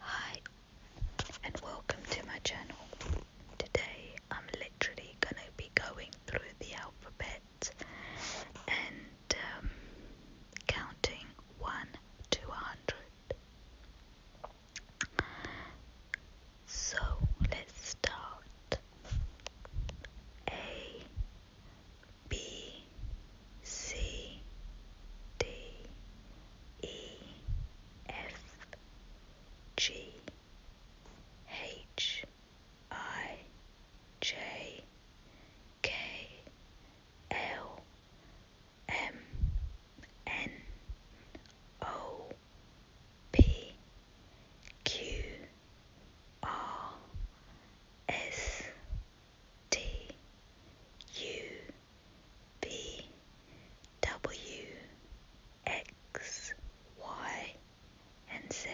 Hi, and welcome to my channel. Today I'm literally gonna be going through the alphabet and um, counting 1 to 100. So let's start. A B C D E F G H I J K L M N O P Q R S T U V W X Y and Z.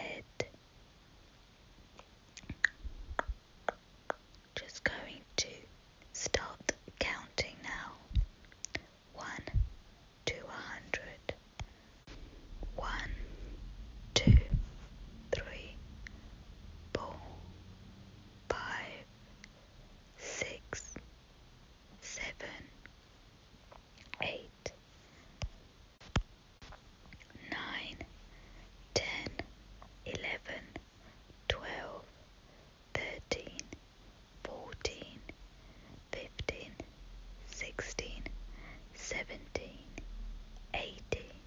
Just going to start counting now. One to a hundred. One, two, three, four, five, six, seven, eight, nine, ten, eleven, twelve, thirteen, fourteen, fifteen, sixteen, seventeen, eighteen.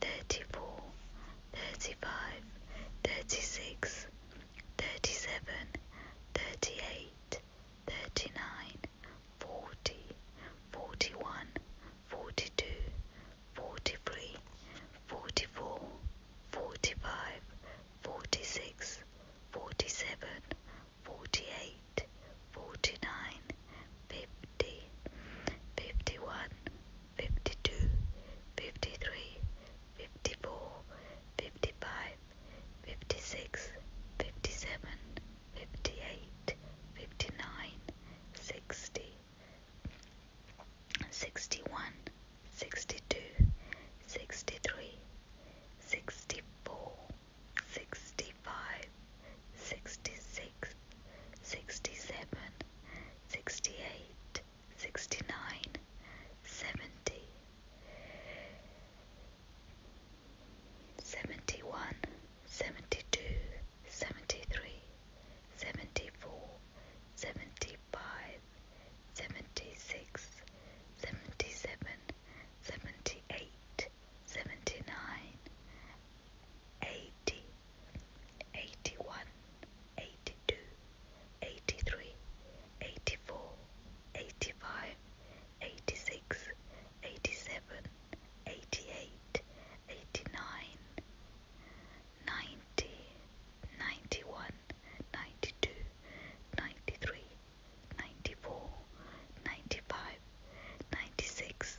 34, 35, 36, 37, 38, 39, 40, 41, 42, 43, 44, 45, 46, 47, 48, 49, 50, 51, 52, 53, 54, 55, 56, 57, 58, 59, 60, 61, 62, 63, 64, 65, 66, six, sixty-seven, sixty-eight, sixty-nine, seventy, seventy-one, seventy-two, seventy-three, seventy-four, seventy-five, seventy-six, seventy-seven, seventy-eight, seventy-nine, 80, 81, 82, 83, 84, 85, 86, 87, 88, 89, 90, 91, 92, 93, 94, 95, 96,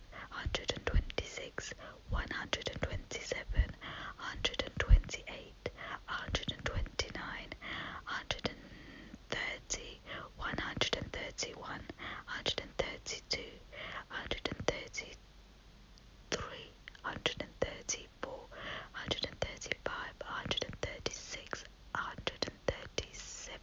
126, 127, 128, 129, 130, 131, 132, 133, 134, 135, 136, 137,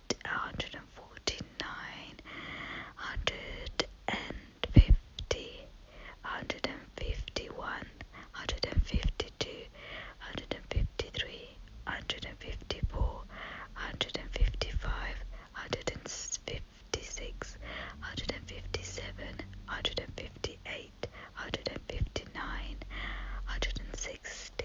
hundred and forty nine, hundred and fifty, hundred and fifty one, hundred and fifty two, hundred and fifty three, hundred and fifty four, hundred and fifty five, hundred and fifty six, hundred and fifty seven, hundred and fifty eight, hundred and fifty nine, hundred and sixty.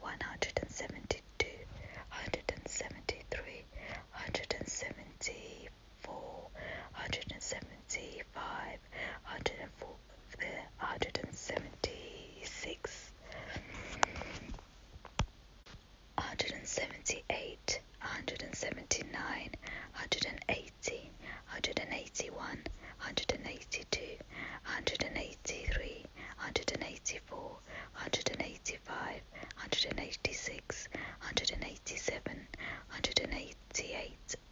172, 173, 174, 175, 176, 178, 179, 180, 181, 182, 183, 184, 184, 185, 186, 187, 188,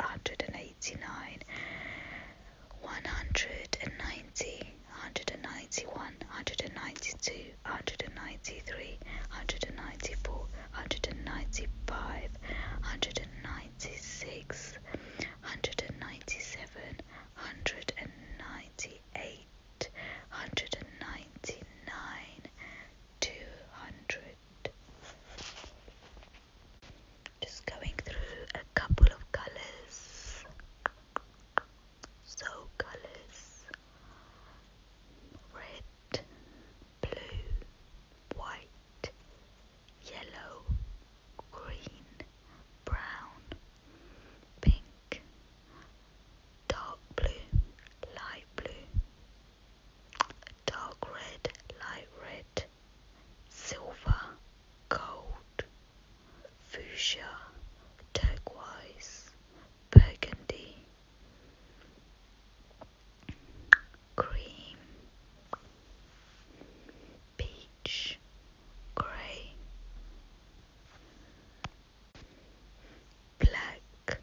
189, 190, 191, 192, 193, 194, 195, 196, 197, hundred and ninety eight, hundred and ninety nine, two hundred. Just going through a couple of colors, so colors red, blue, white, yellow, green, brown, pink, dark blue, light blue, dark red, light red, silver, gold, fuchsia, turquoise, burgundy, cream, peach, grey, black,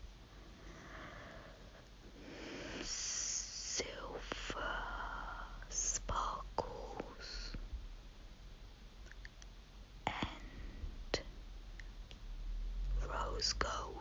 silver sparkles, and rose gold.